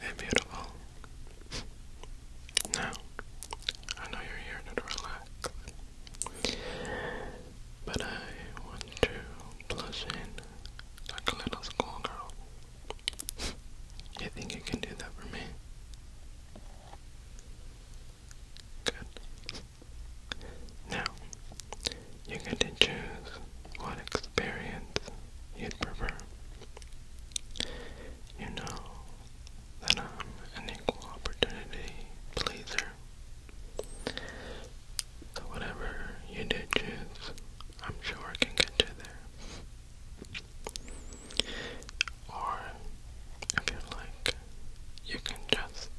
Hey, beautiful. Now, I know you're here to relax, but I want to plus in a little schoolgirl. You think you can do that for me? Good. Now, you get to choose what experience you prefer. You know that I'm an equal opportunity pleaser. So whatever you did choose, I'm sure I can get you there. Or if you like, you can just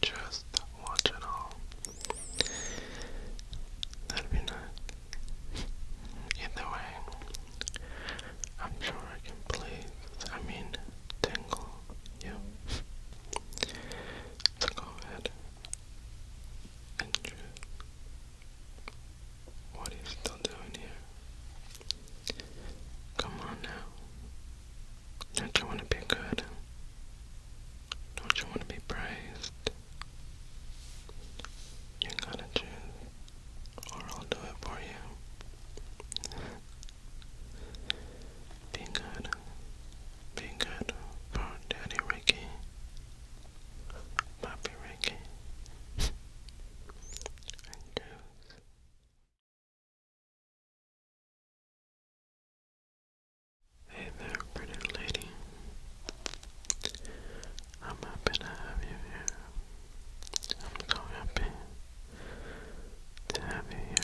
just watch it all. That'd be nice. Either way, I'm sure I can please, I mean, tingle you. So go ahead and choose what are you still doing here? Come on now. Don't you want to be good? Don't you want to be praised? You gotta choose, or I'll do it for you. be good. Be good for Daddy Ricky. Bobby Rankin, and Deuce. Hey there, pretty lady. I'm happy to have you here. I'm so happy to have you here.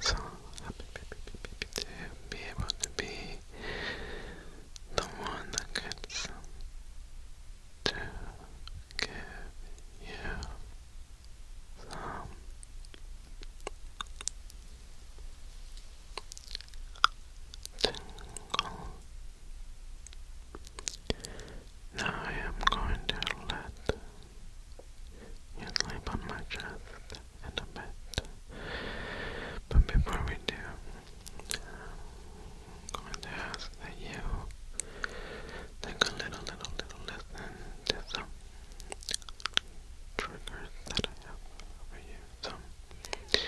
So happy to be able to be the one that gets them give you some tingle. Now I am going to let you sleep on my chest a bit. But before we do, I'm going to ask that you think a little, little, little less to some triggers that I have for you. Some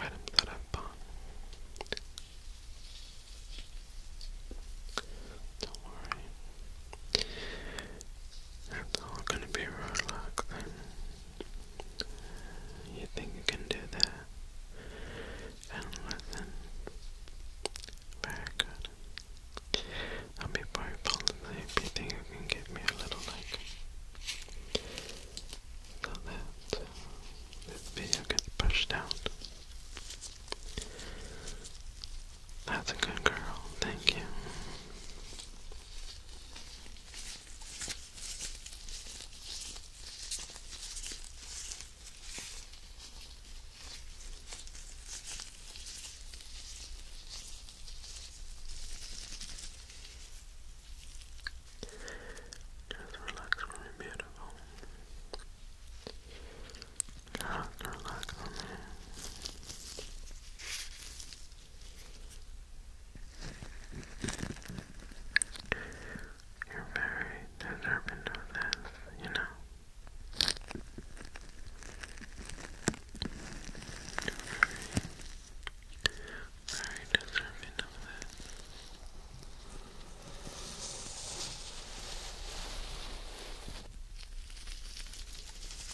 items that I've bought. Don't worry. It's all gonna be road You think you can do that? And Very good. I'll be probably asleep. You think you can give me a little like so that uh, this video gets pushed out. That's a good girl, thank you. Just relax for me, beautiful. Just relax for me. You're very deserving of this, you know. very, very deserving of this.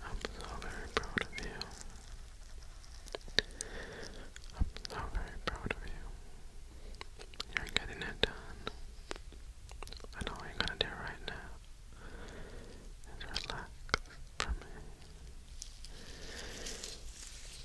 I'm so very proud of you. I'm so very proud of you. You're getting it done. And all you're gonna do right now is relax for me.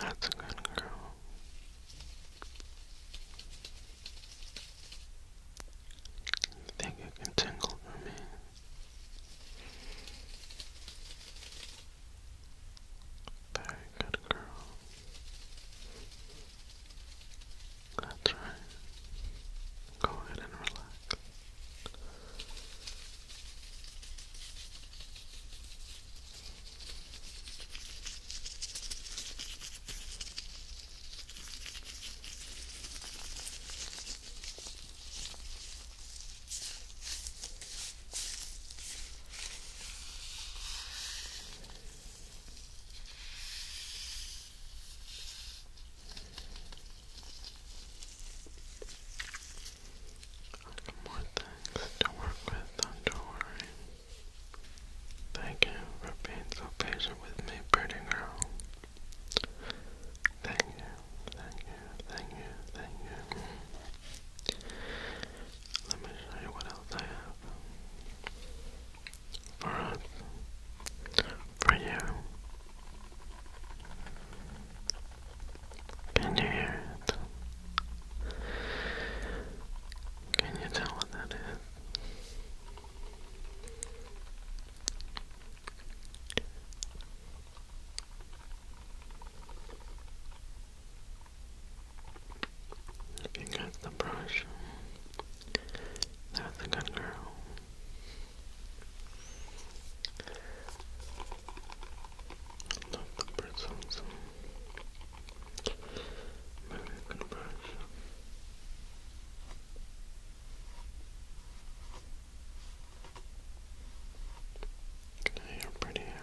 That's a good girl. think it can tingle for me. Very good girl. That's right. Go ahead and relax more things to work with, don't worry. Thank you for being so patient with me, pretty girl. Thank you, thank you, thank you, thank you. Let me show you what else I have for us, uh, for you. Can you hear it? Can you tell what that is? you got the brush, that's a good girl. Not the birds also. Maybe I can brush. Okay, you're pretty here.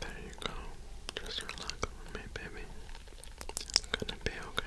There you go. Just relax with me, baby. It's gonna be okay.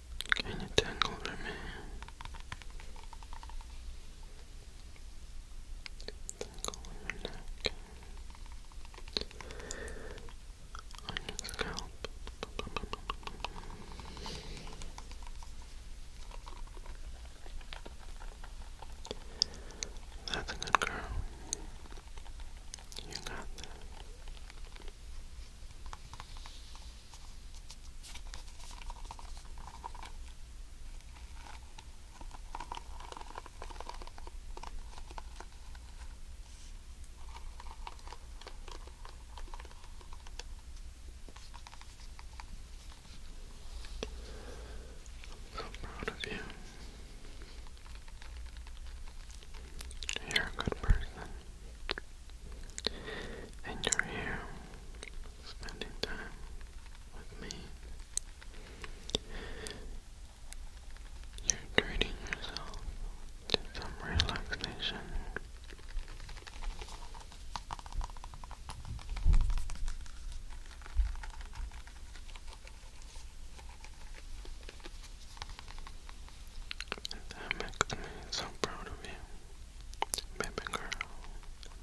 Can you tangle for me? Tangle your neck. On your scalp. That's a good girl. You got that so proud of you. You're a good person, and you're here spending time with me. You're treating yourself to some relaxation. that makes me so proud of you. Baby girl.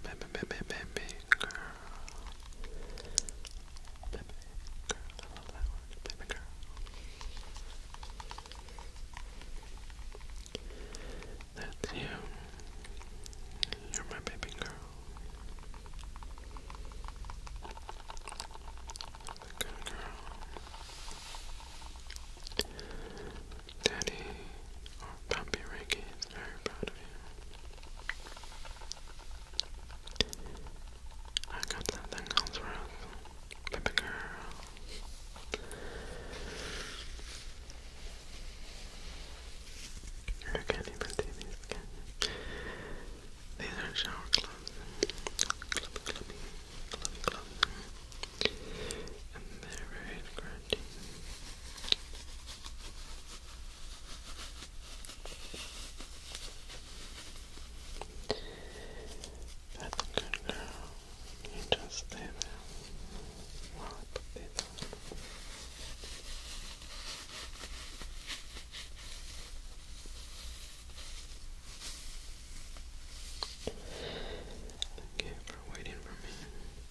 Baby, baby, baby girl. Baby girl. I love that word. Baby girl. That's you. You're my baby girl. Good girl. Daddy or Puppy Ricky is very proud of you. I got something else for us, baby girl. I can't even these, are shower clothes and mirror it grinding. good girl. You just stay there while I put these on. Thank you for waiting for me.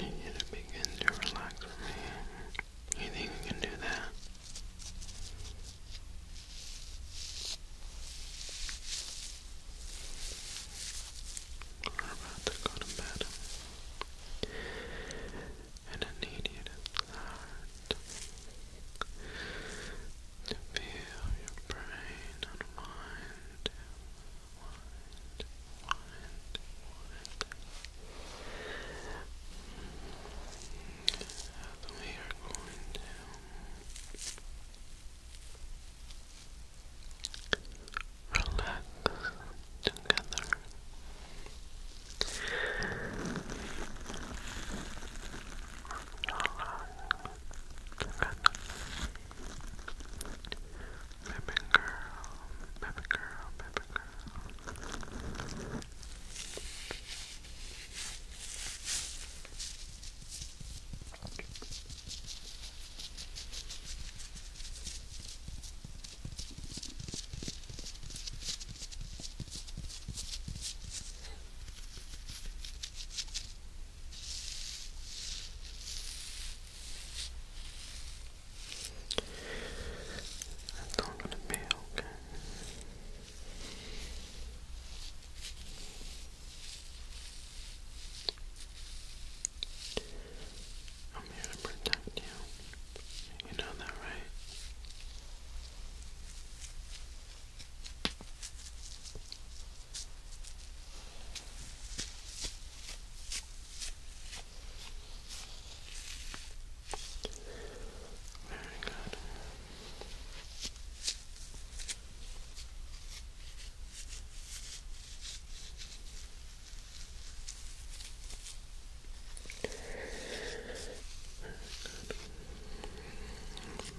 I need you to begin to relax with me. You can do that? We're about to go to bed. And I need you to feel your brain unwind wind, wind, we are going to relax together. Relax together. Baby girl, baby girl, baby girl. That's all gonna be okay. I'm here to protect you. You know that, right? Very good. Very good.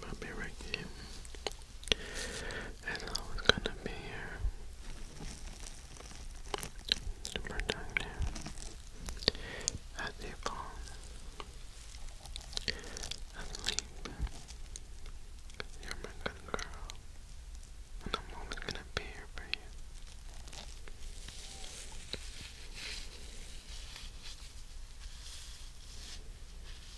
About right here. It's always gonna be here. Super down here. A default. Asleep. You're my good girl. And I'm always gonna be here for you.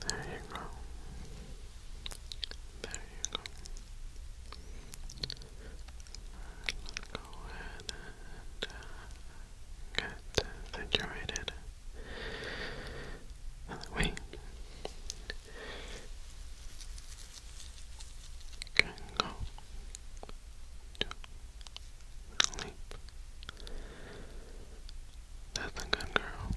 There you go. There you go. I'll go ahead and uh, get situated. By you That's a good girl.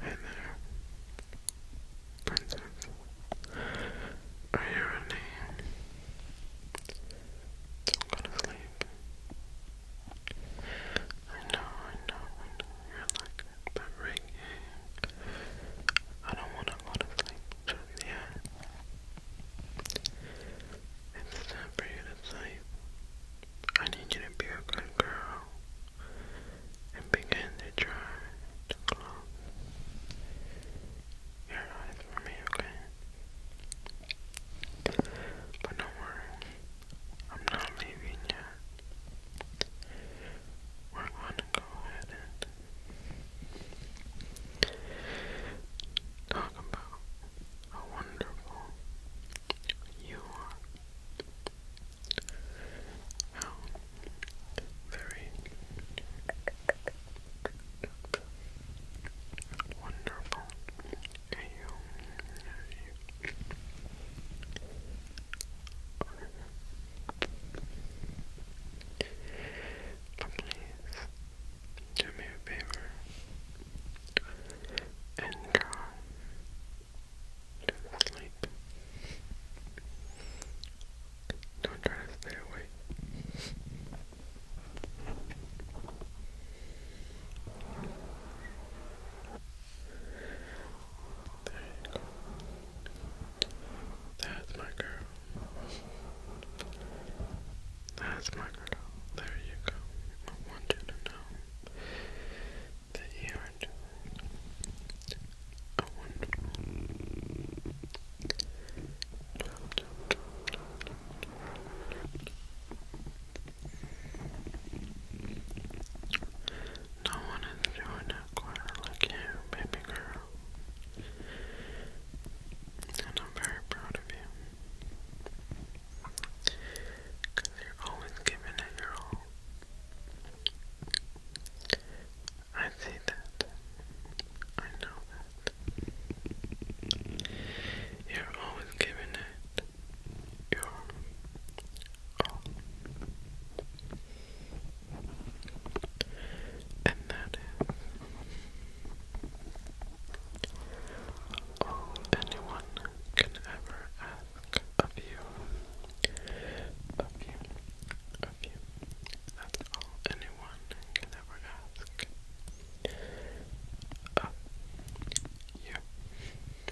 Hey there, princess. Are you ready? do go to sleep. I know, I know, I know you're like but right I don't want to go to sleep just It's time for you to sleep. I need you to be a good girl and begin to try your eyes for me, okay? But don't worry, I'm not leaving yet. We're going to go ahead and talk about how wonderful you are. How very wonderful but please do me a favor and go to sleep. Don't try to stay awake. There you go. That's my girl. That's my girl. There you go. I want you to know that you are no one is doing a like you, baby girl. And I'm very proud of you. Because you're always giving it your all. I see that. I know that. You're always giving it your own. And that is all anyone can ever ask of you. Of you. Of you. That's all anyone can ever ask of you.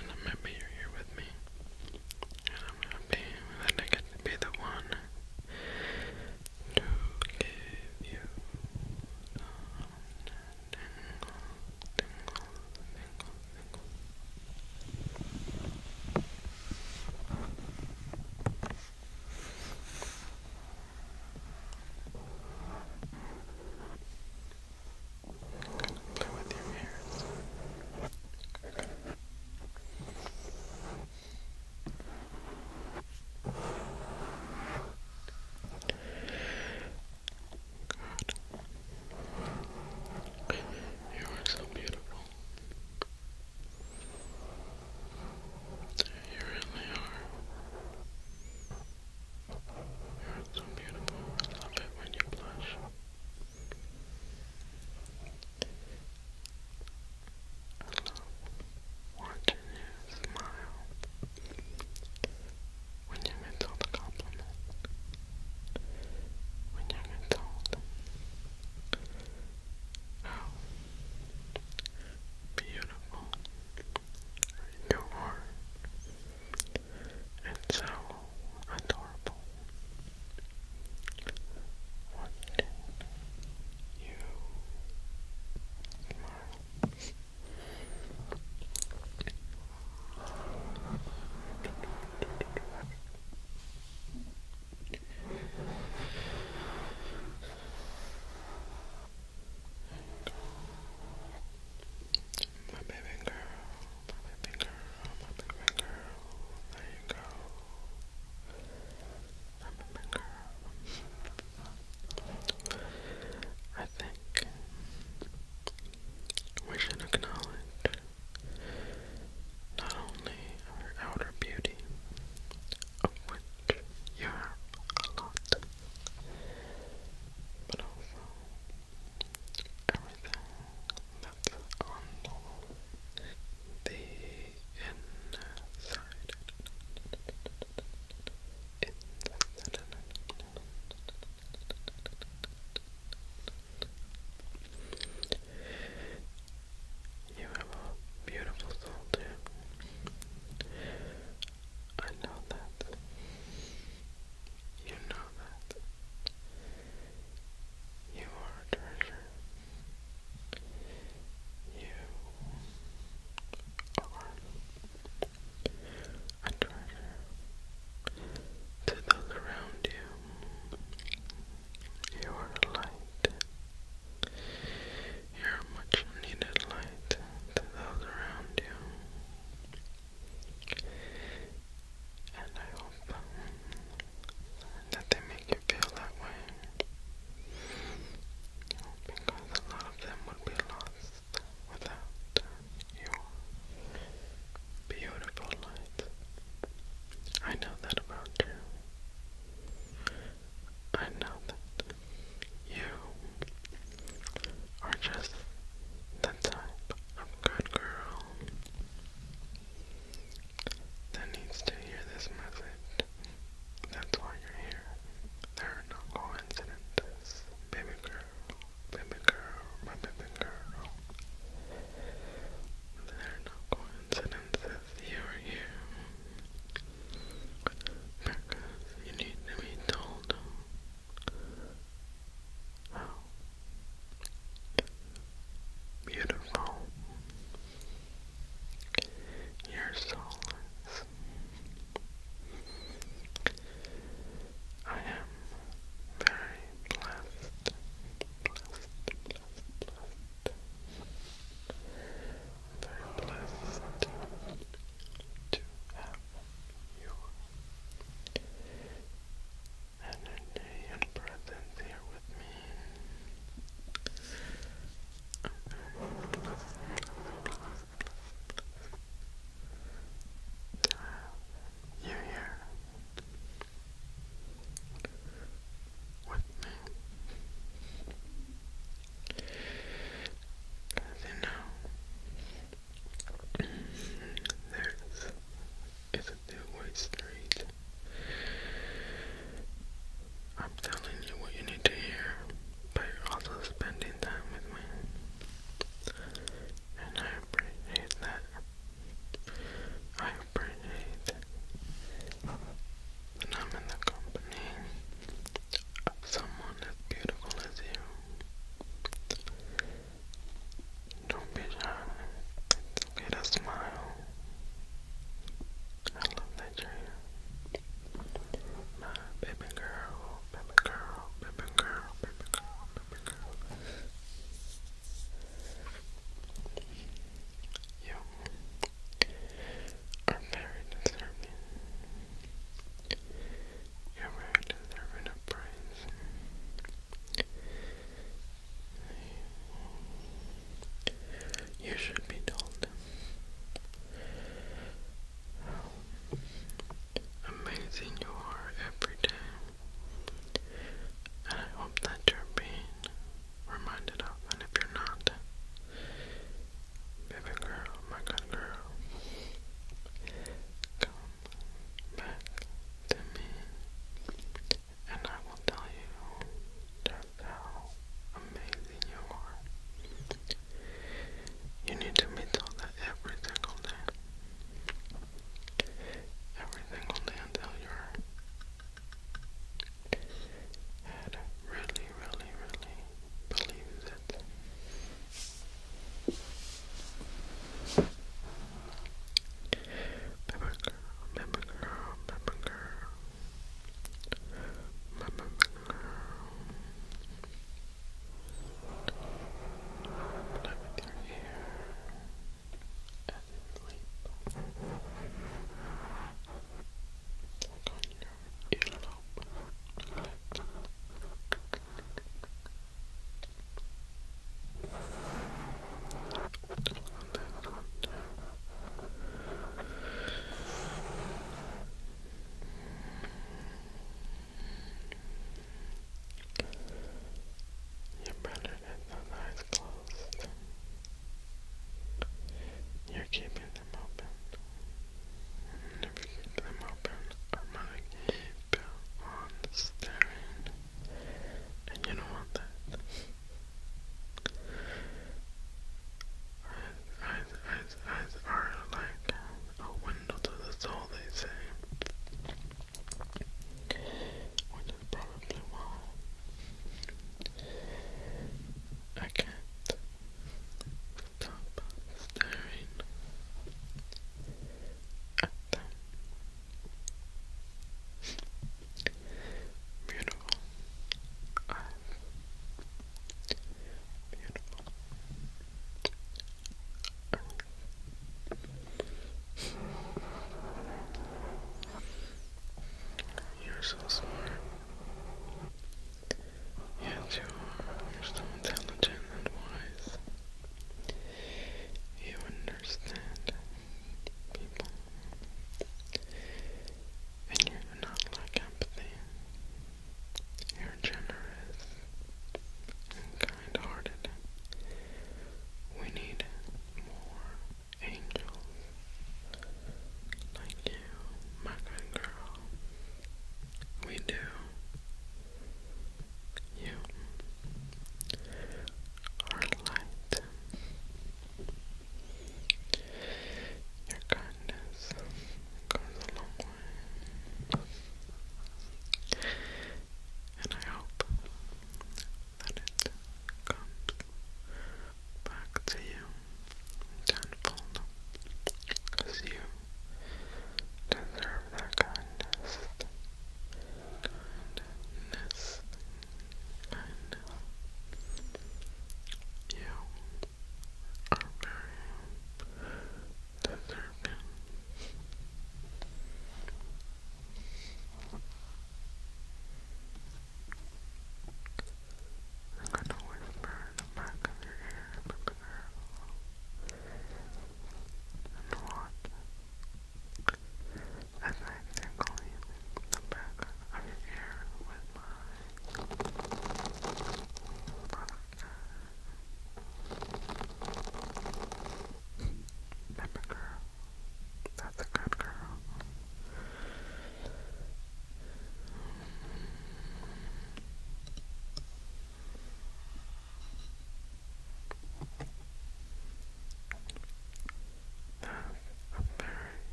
and I'm happy you're here with me. And I'm happy that I get to be the one to give you play with your hairs. You are so beautiful. You really are. You're so beautiful. I love it when you blush watching you smile when you get told a compliment, when you get told how beautiful you are and so adorable. What you smile. My baby girl, my baby girl, my baby girl. There you go. My baby girl. I think we should acknowledge not only our outer beauty, of which you have a lot, but also everything that's on the inside. inside. You have a beautiful soul too. I know that. You know that. You are a treasure. You are a treasure to those around you. You are a light. You're a much needed light to those around you. And I hope that they make you feel that way. Because a lot of them would be lost without your beautiful light. I know that about you. I know that you are just the type of good girl that needs to hear this message. That's why you're here. There are no coincidences. Baby girl, baby girl, my baby girl. There are no coincidences. You are here. Because you need to be told Beautiful. Your soul is. I am very blessed, blessed, blessed, blessed. Very blessed to have you energy and presence here with me. You're here with me. As you know, there's is a 2 I'm telling you what you need to hear, but you're also spending time with me. And I appreciate that. I appreciate that I'm in the company of someone as beautiful as you. Don't be shy. It's okay smile. I love that you baby girl, baby girl, baby girl, baby girl, baby girl. You are very deserving. You're very deserving of praise. You should be told. amazing you are every day. And I hope that you're being reminded of. And if you're not, baby girl, my good girl, come back to me, and I will tell you just how amazing you are. You need to be told that every single day. Every single day until your head really, really, really believes it. Remember girl, remember girl, Play with your hair as you sleep. Look on your earlobe. You better get those eyes closed. You're keeping them open. if you keep them open, I'm gonna keep on staring and you don't want that. Eyes, eyes, eyes, are like a window to the soul, they say, which is probably why I can't stop staring Beautiful. Beautiful. You're so smart. Yes, you are. You're so intelligent and wise. You understand people, and you do not lack empathy. You're generous and kind hearted. We need more angels like you, my good girl. We do. You or light. Your kindness goes a long way. And I hope that it comes back to you tenfold. Because you deserve that kindness kindness you are very deserving. I'm whisper in the back of your ear, but be careful as I tingle using back of with my product. girl, that's a good girl. That's a very good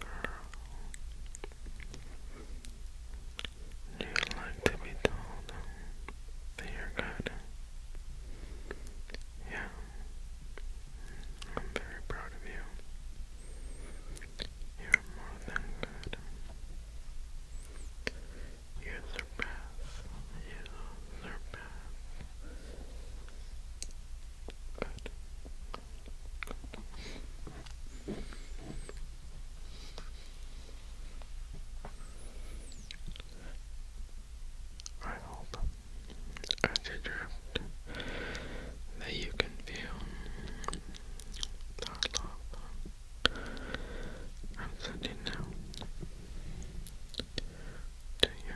girl. you like to be told that you're good? Yeah. I'm very proud of you. You're more than good. You surpass. You surpass. Good. I hope as you that you can feel our love I'm sending now to you,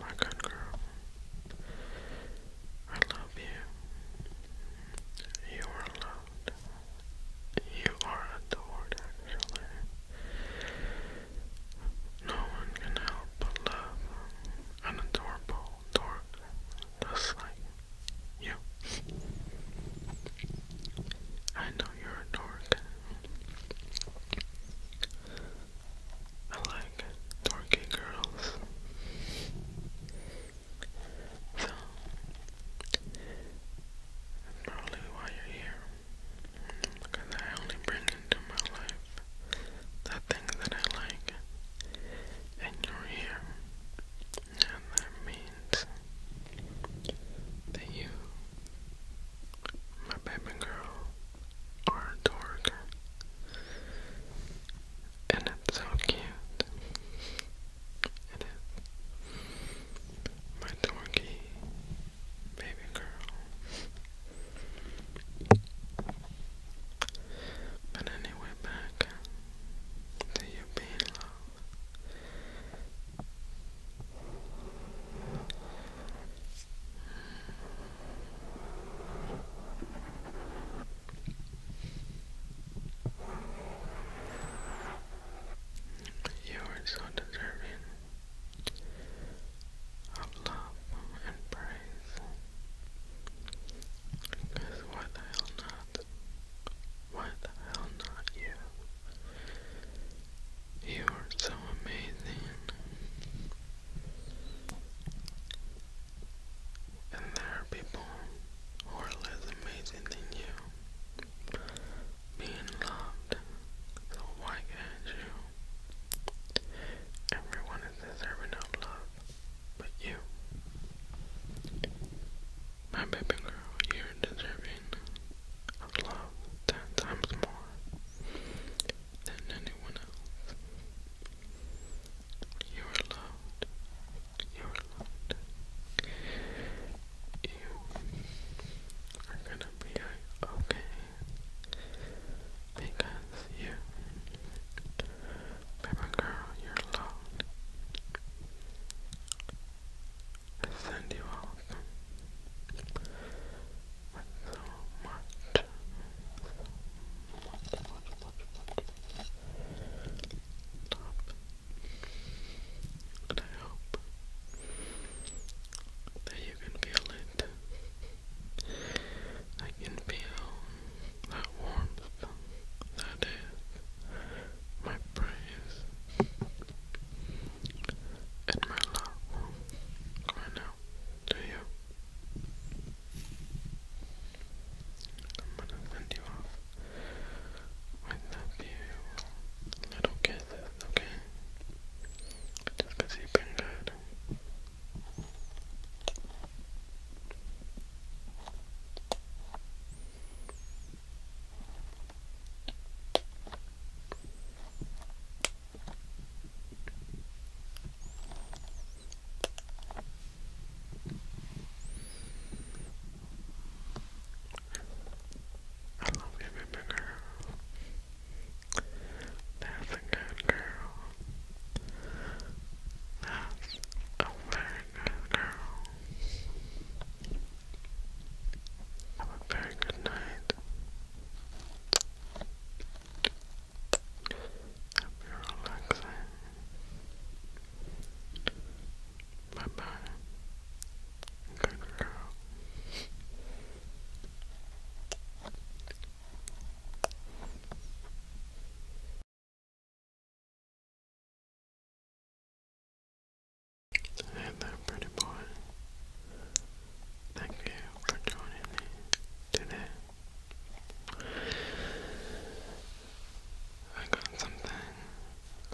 my good girl. I love you. You are loved. You are adored, actually. No one can help but love an adorable dork just like you. I know you're a dork. I like dorky girls. So, probably why you're here. Because I only bring into my life the things that I like. And you're here. And that means that you my baby girl are dork. And it's so cute. It is. My dorky baby girl. But anyway, back to you being love. You are so deserving of love and praise. why the hell not? Why the hell not you? You are so amazing. And there are people who are less amazing than you. Being loved, so why can't you? Everyone is deserving of love, but you. My baby girl, you're deserving of ten times more than anyone else. You are loved. You are loved. You are gonna be okay because you, baby girl, you're loved send you out so much, And I hope that you can feel it. I can feel that warmth that is my praise and my love right now to you. I'm gonna send you off with a few little kisses, okay? Just you you've been good. I love you, baby girl. That's a good girl. That's a very good girl. Have a very good night. Happy relaxing. Bye bye. Good girl. Hey there, pretty boy. Thank you for joining me today. I got something,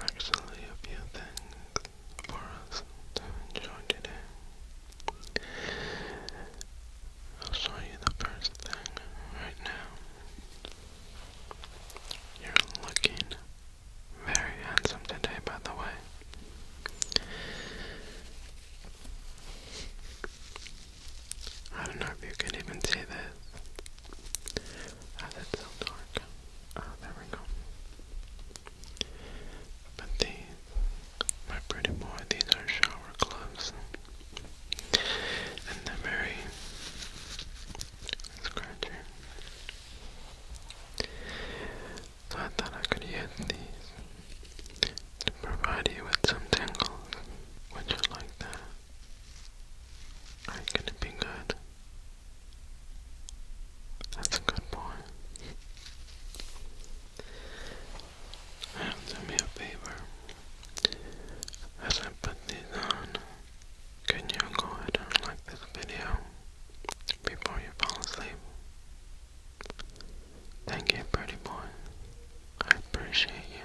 actually a few things for us to enjoy today. I'll show you the first thing right now. You're looking very handsome today, by the way. I don't know if you can even see this, as it's so dark. Ah, there we go. But these, my pretty boy, these are shower gloves. And they're very scratchy so I thought I could use these to provide you with some tingles. Would you like that? Are you gonna be good? That's a good boy. do me a favor. As I put these on, can you go ahead and like this video? before you fall asleep. Thank you, pretty boy. I appreciate you.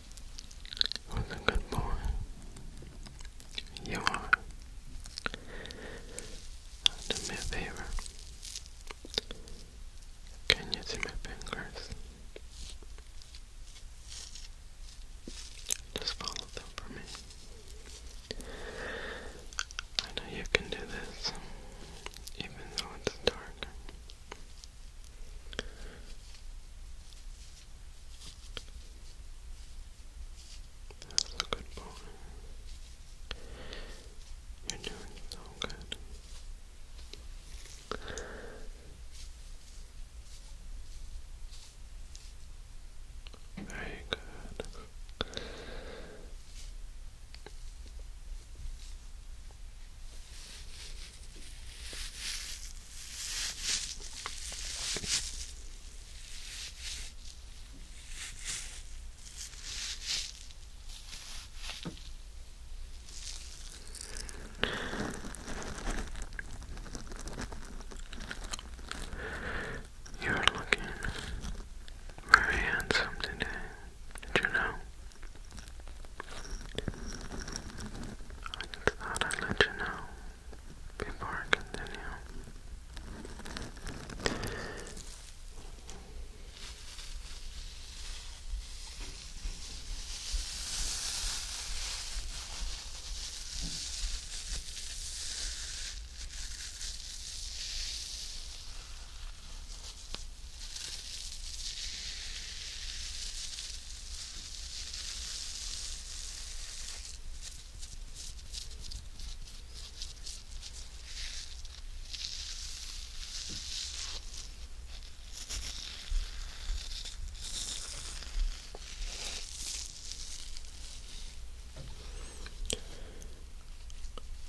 was a good boy. You are. Do me a favor. Can you see my fingers? Just follow them for me. I know you can do this, even though it's dark. That's a good boy. You're doing so good. Very good. You're looking very handsome today, did you know? I thought I'd let you know before I continue.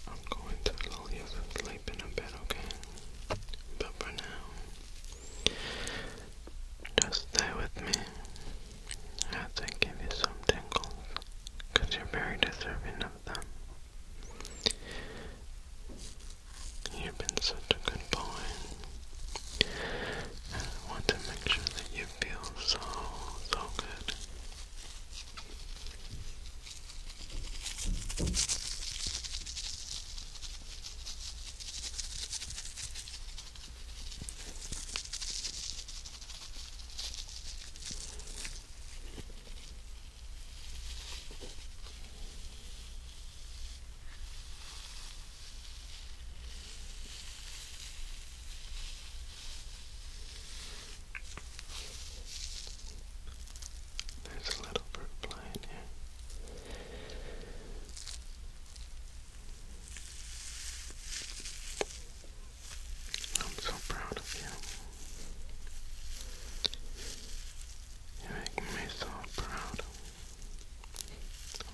I'm going to lull you to sleep in a bit, okay? But for now, just stay with me as I give you some tingles, you're very deserving of them. You've been such a good boy, I want to make sure that you feel so, so good. There's a little fruit fly in here. I'm so proud of you. You make me so proud.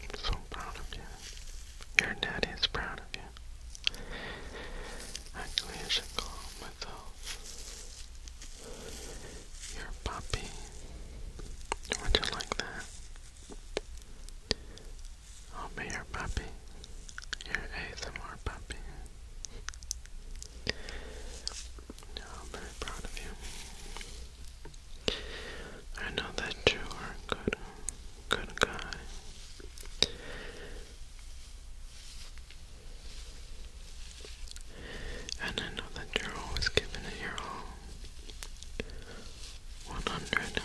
I'm so proud of you. Your daddy is proud of you. Actually, I should call myself your puppy. Would you like that? Oh, I'll be your puppy, your ASMR puppy. I'm very proud of you. I know that you are a good, good guy. And I know that you're always giving it your all one hundred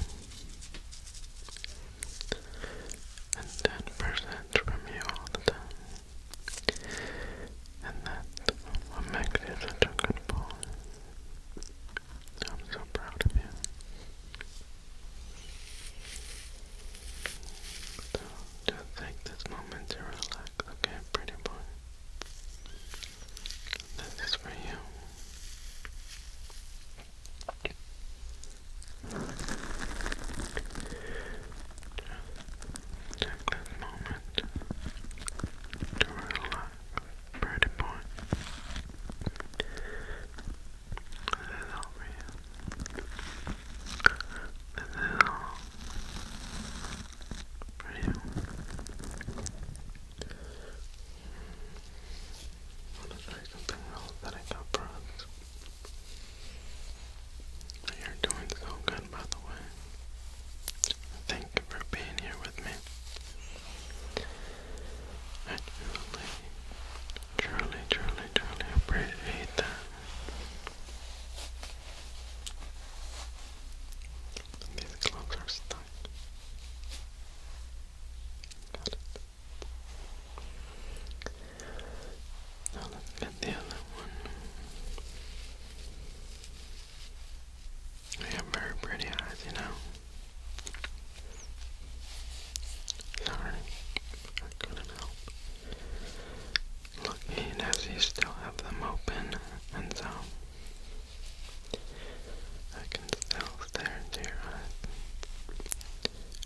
and ten percent from you all the time. And that's makes you such a good boy. I'm so proud of you. So take this moment to relax, okay, pretty boy. This is for you. this moment to relax, pretty boy. This is all for you. This is all for you. Want to try something else that I got for You're doing so good, by the way. Thank you for being here with me. I truly, truly, truly, truly appreciate that. These gloves are stuck. Got Now let's the other one. They have very pretty eyes, you know. Sorry, couldn't help. Lucky Nessie still have them open, and so I can still stare into your eyes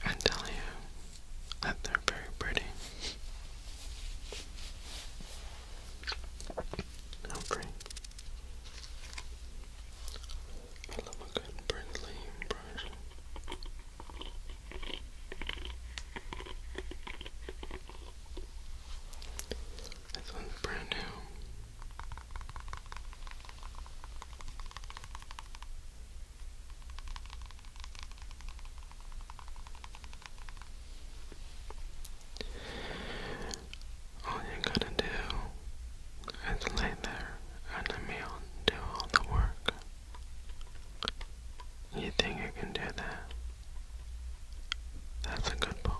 and tell you that they're very pretty. i I love a good bristly brush. This one's brand new. All you gotta do is lay there and let me do all the work. You think you can do that? That's a good point.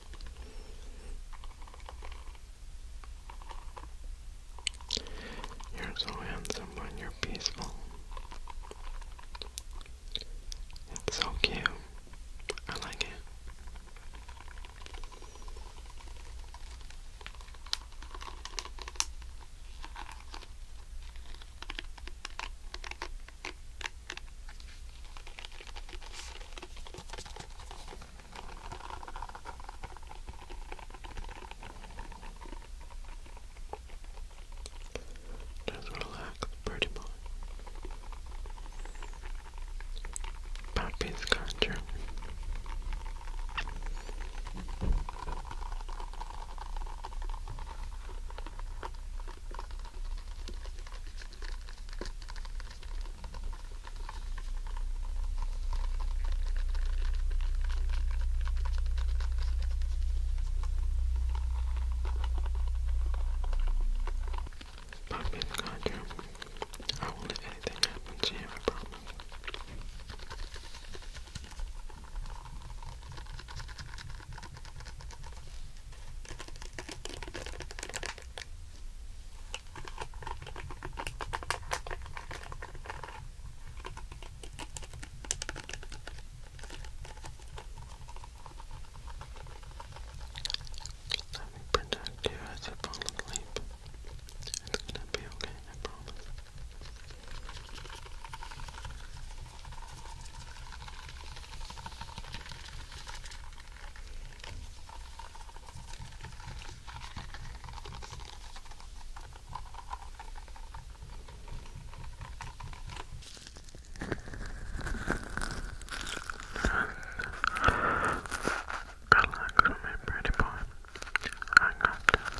You're so handsome when you're peaceful. so cute. I like it. Just relax, pretty much. Papi's culture. Pop in the contract. I won't let anything happen to you, I promise. Let me protect you as you fall asleep. It's gonna be okay, I promise. Relax, my pretty boy. I got you.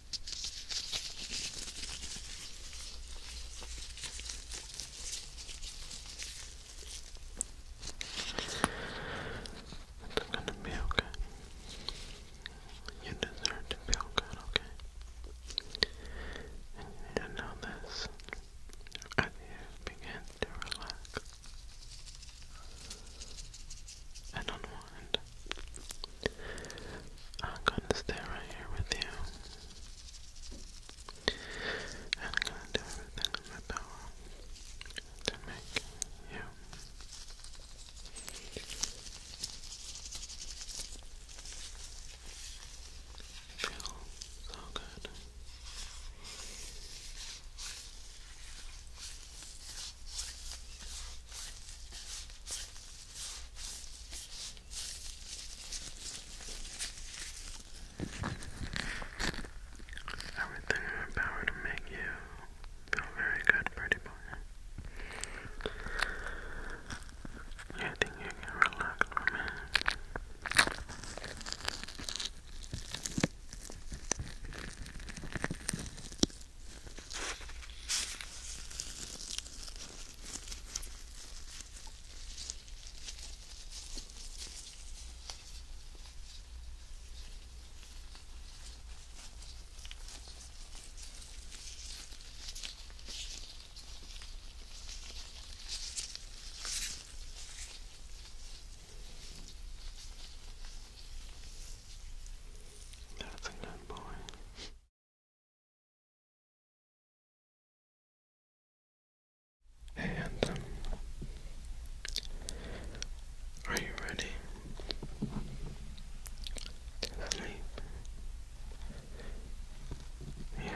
It's gonna be okay. You deserve to feel good, okay? And you know this as you begin to relax and unwind. I'm gonna stay right here with you. And I'm gonna do everything in my power to make you feel so good. Everything in my power to make you feel very good, pretty boy. You think you can relax that's a good boy. And um, are you ready to Yeah,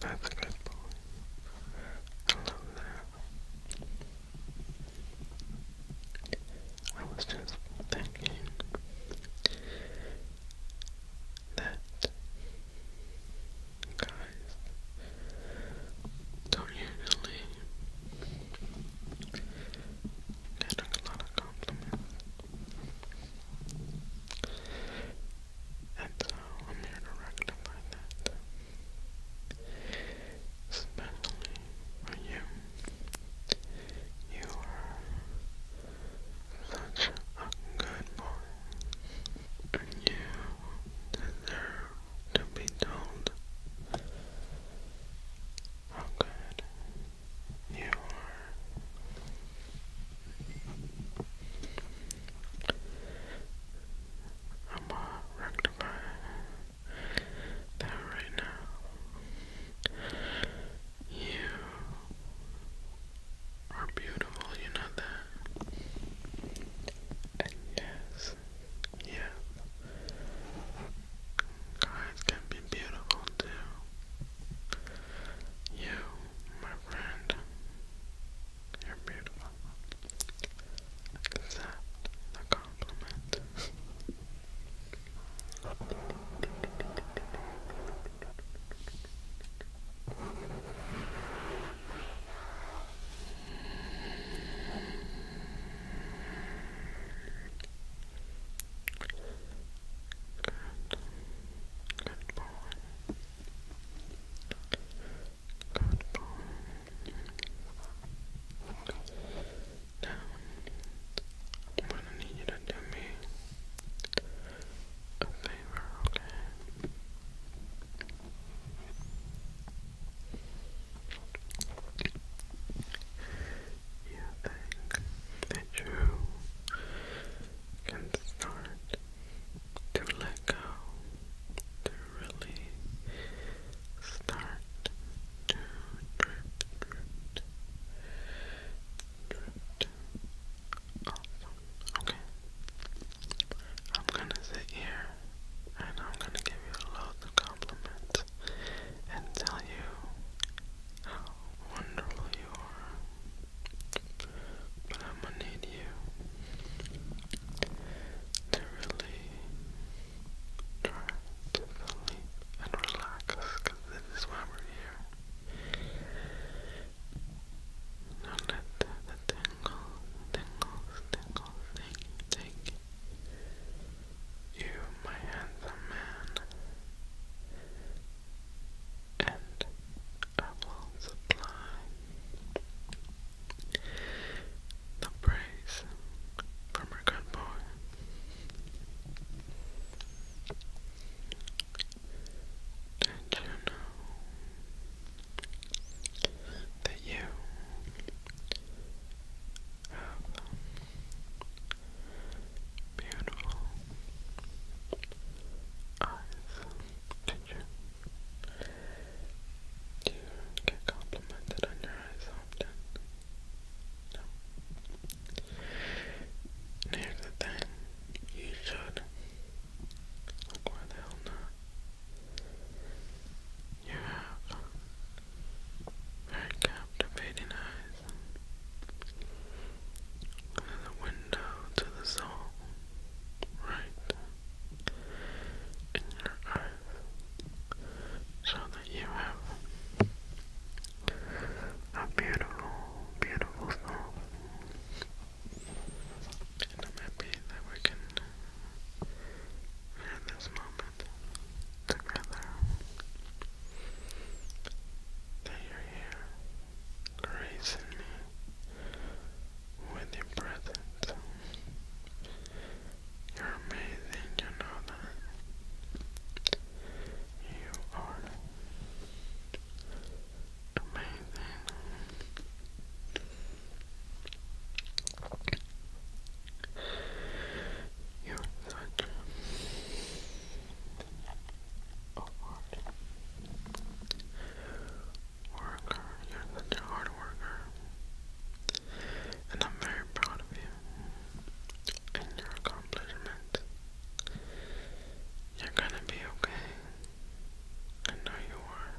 that's a good boy. I love that. I was just thinking that guys don't usually get a lot of compliments. And so I'm here to rectify that. Especially for you. You are such a good boy. You deserve to be told how good you are. I'm gonna rectify that right now. You are beautiful, you know that? And yes, yes, guys can be beautiful too. You, my friend, you're beautiful. Accept the compliment. Good boy down. I'm gonna need you to do me a favor, okay? You think that you can start to let go, to really start to drift, drift, Okay. I'm gonna sit here and I'm gonna give you loads of compliments and tell you how wonderful you are. But I'm gonna need you to really try to sleep and relax this is why we're here do let the, the tingle, tingles, tingles take, you, my handsome man, and I will supply the praise from a good boy. Don't you know that you have beautiful eyes? Did you? Do you get complimented on your eyes often? No. Near the thing, you should. Like, why the hell not? You have very captivating eyes. Another window to the soul, right in your eyes, so that you have a beautiful, beautiful song. And I'm happy that we can have this moment together. That you're here, gracing me with your presence. You're amazing, you know that. You are Amazing. You're such a hard worker. You're such a hard worker. And I'm very proud of you and your accomplishment. You're gonna be okay. I know you are.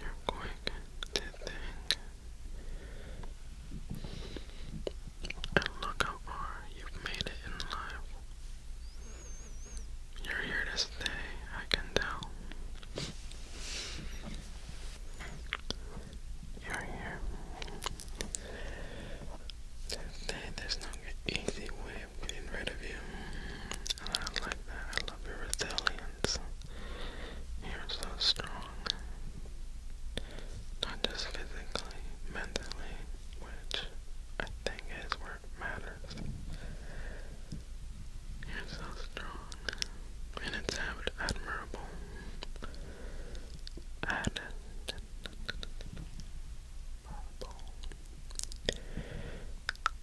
You're quick to think. And look how far you've made it in life. You're here to stay, I can tell you're here. There's no easy way of getting rid of you. And I like that. I love your resilience. You're so strong. Not just physically, mentally, which I think is where it matters. You're so strong. And it's admirable. Admirable.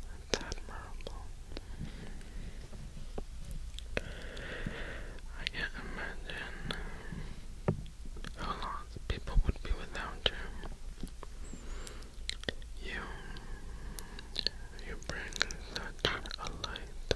Admirable. I can't imagine how long people would be without you. You, you bring such a light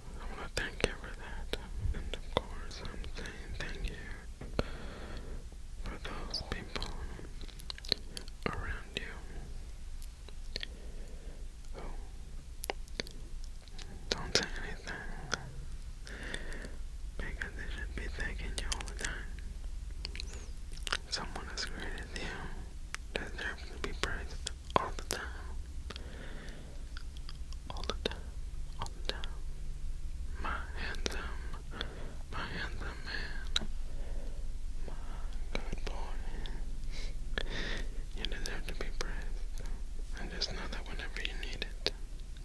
I want to thank you for that. And of course, I'm saying thank you for those people around you who don't say anything because they should be thanking you all the time. Someone as great as you deserves to be praised all the time all the time, all the time. My handsome, my handsome man, my good boy. You deserve to be praised. And just know that whenever you need it,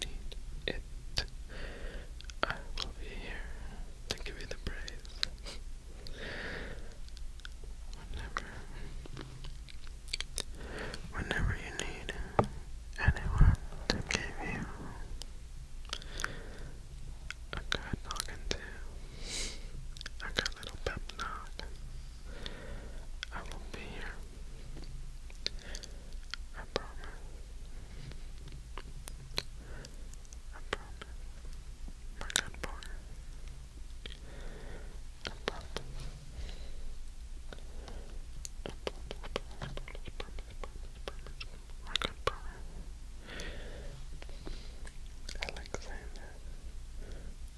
need it, I will be here to give you the praise. Whenever Whenever you need anyone to give you a good talking to, a good little pep talk, I will be here. I promise. I promise. My good boy. I love Alexander.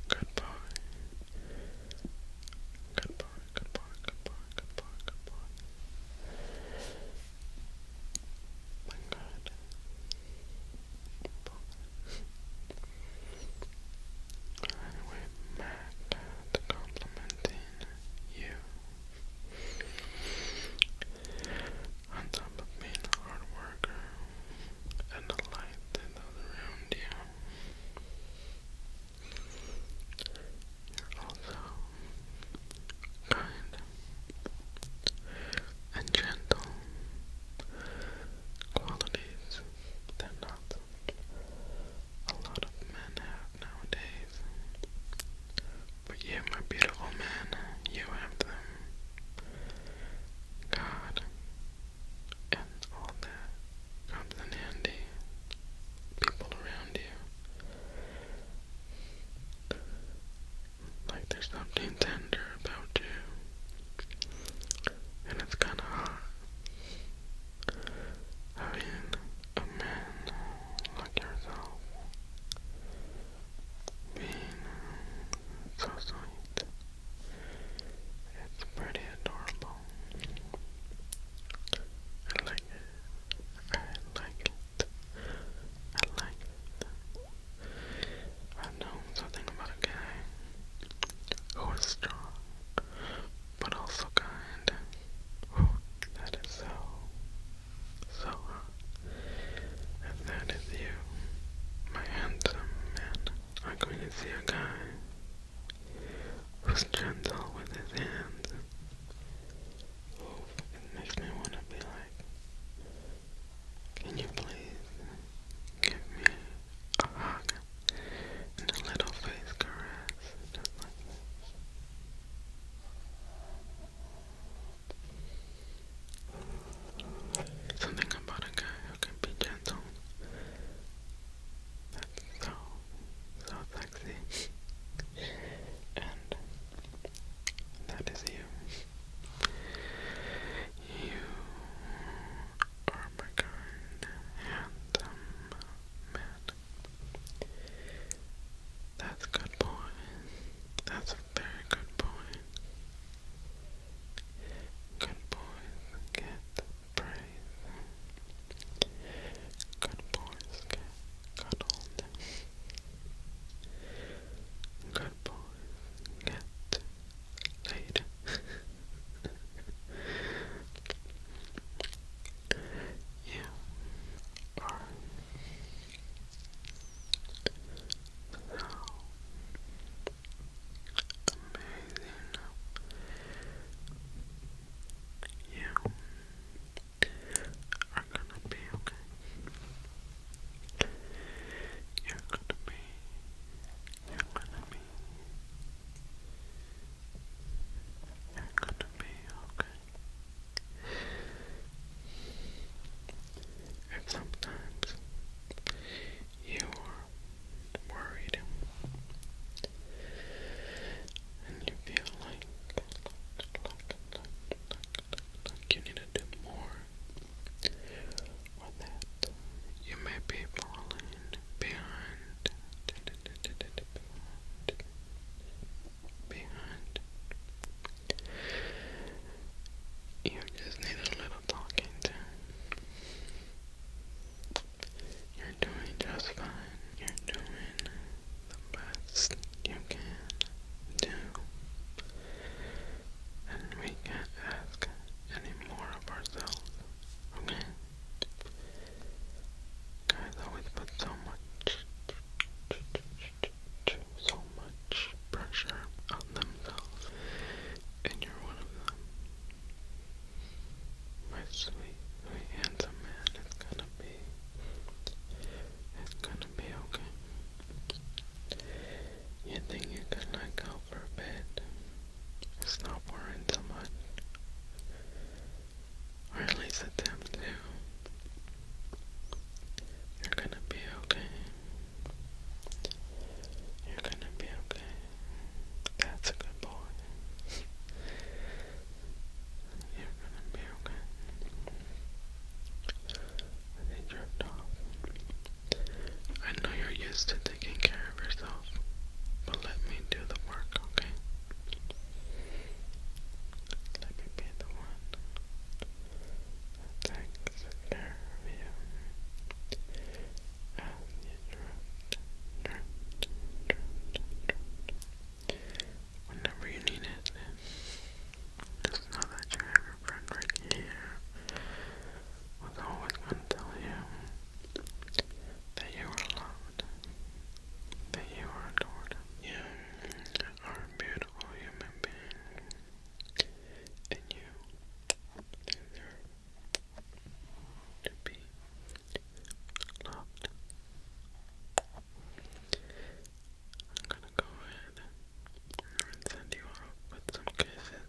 Good boy. Good boy, good boy, My God. I went back to complimenting you. On top of being a hard worker and a light to those around you, you're also kind and gentle qualities that not a lot of men have nowadays. But you, my beautiful man, you have them. God. And all that comes in handy. People around you. Like there's something tender about you. And it's kinda having a man like yourself being so sweet. It's pretty adorable. I like it. I like it. I like it. I've something about a guy who is strong but also kind. that is so, so hot. that is you, my handsome man, I'm going to see a guy who's gentle with his hands. it makes me want to be like, can you please give me a hug? and a little face caress, just like Something about a guy who can be gentle. That's so, so sexy. and that is you. You Ermengarde and um, Matt. That's good boy. That's a very good boy. Good boys get praise. Good boys get cuddled. Good boys get laid. You are so amazing. You are gonna be okay. You're gonna be. You're gonna be you gonna be okay. And sometimes you are worried and you feel like, like, like, like, like, you need to do more. Or you may be falling beyond, beyond. You just need a little talking to. You're doing just fine. You're doing the best you can do. And we can't ask any more of ourselves, okay? Guys always put so much, so much pressure on themselves, and you're one of them. My sweet, sweet handsome man is gonna be, it's gonna be okay. You think you can let go for a bit? It's not worrying so much. at least attempt to. You're gonna be okay. You're gonna be okay. That's a good boy. You're gonna be okay. they drift off. I know you're used to taking care of yourself myself, but let me do the work, okay? Let me be the one that takes care of you as you drift, Whenever you need it, just know that you have your friend right here was always going to tell you that you are loved, that you are adored. You are a beautiful human being, and you deserve to be loved. I'm gonna go ahead and send you off with some kisses.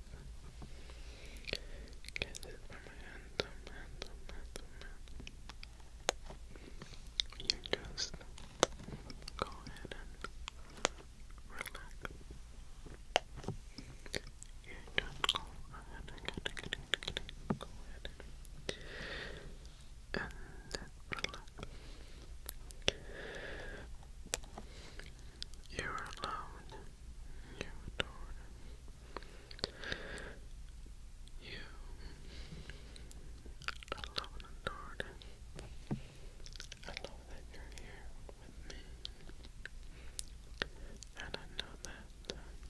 Get it from my hand, thumb, hand, thumb, hand, thumb, hand. You just go ahead and relax. You just go ahead and Go ahead and, relax. You're allowed. You're adored. You alone adored. I love that you're here with me. And I know that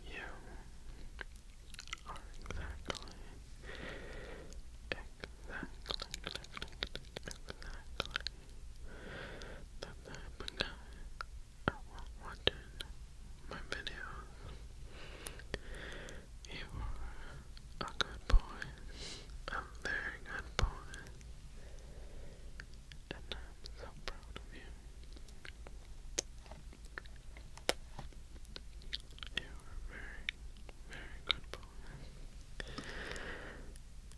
you are exactly, exactly, exactly, exactly the type were watching my videos. You were a good boy, a very good boy, and I'm so proud of you. You were very, very good boy.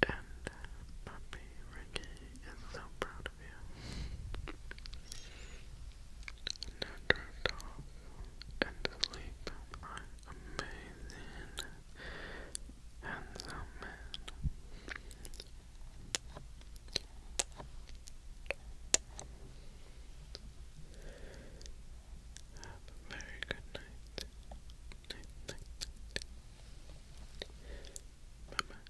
And Puppy uh, Ricky I'm so proud of you. Now and sleep. I'm amazing. Handsome man. Have a very good night. Night, night, night. Bye bye.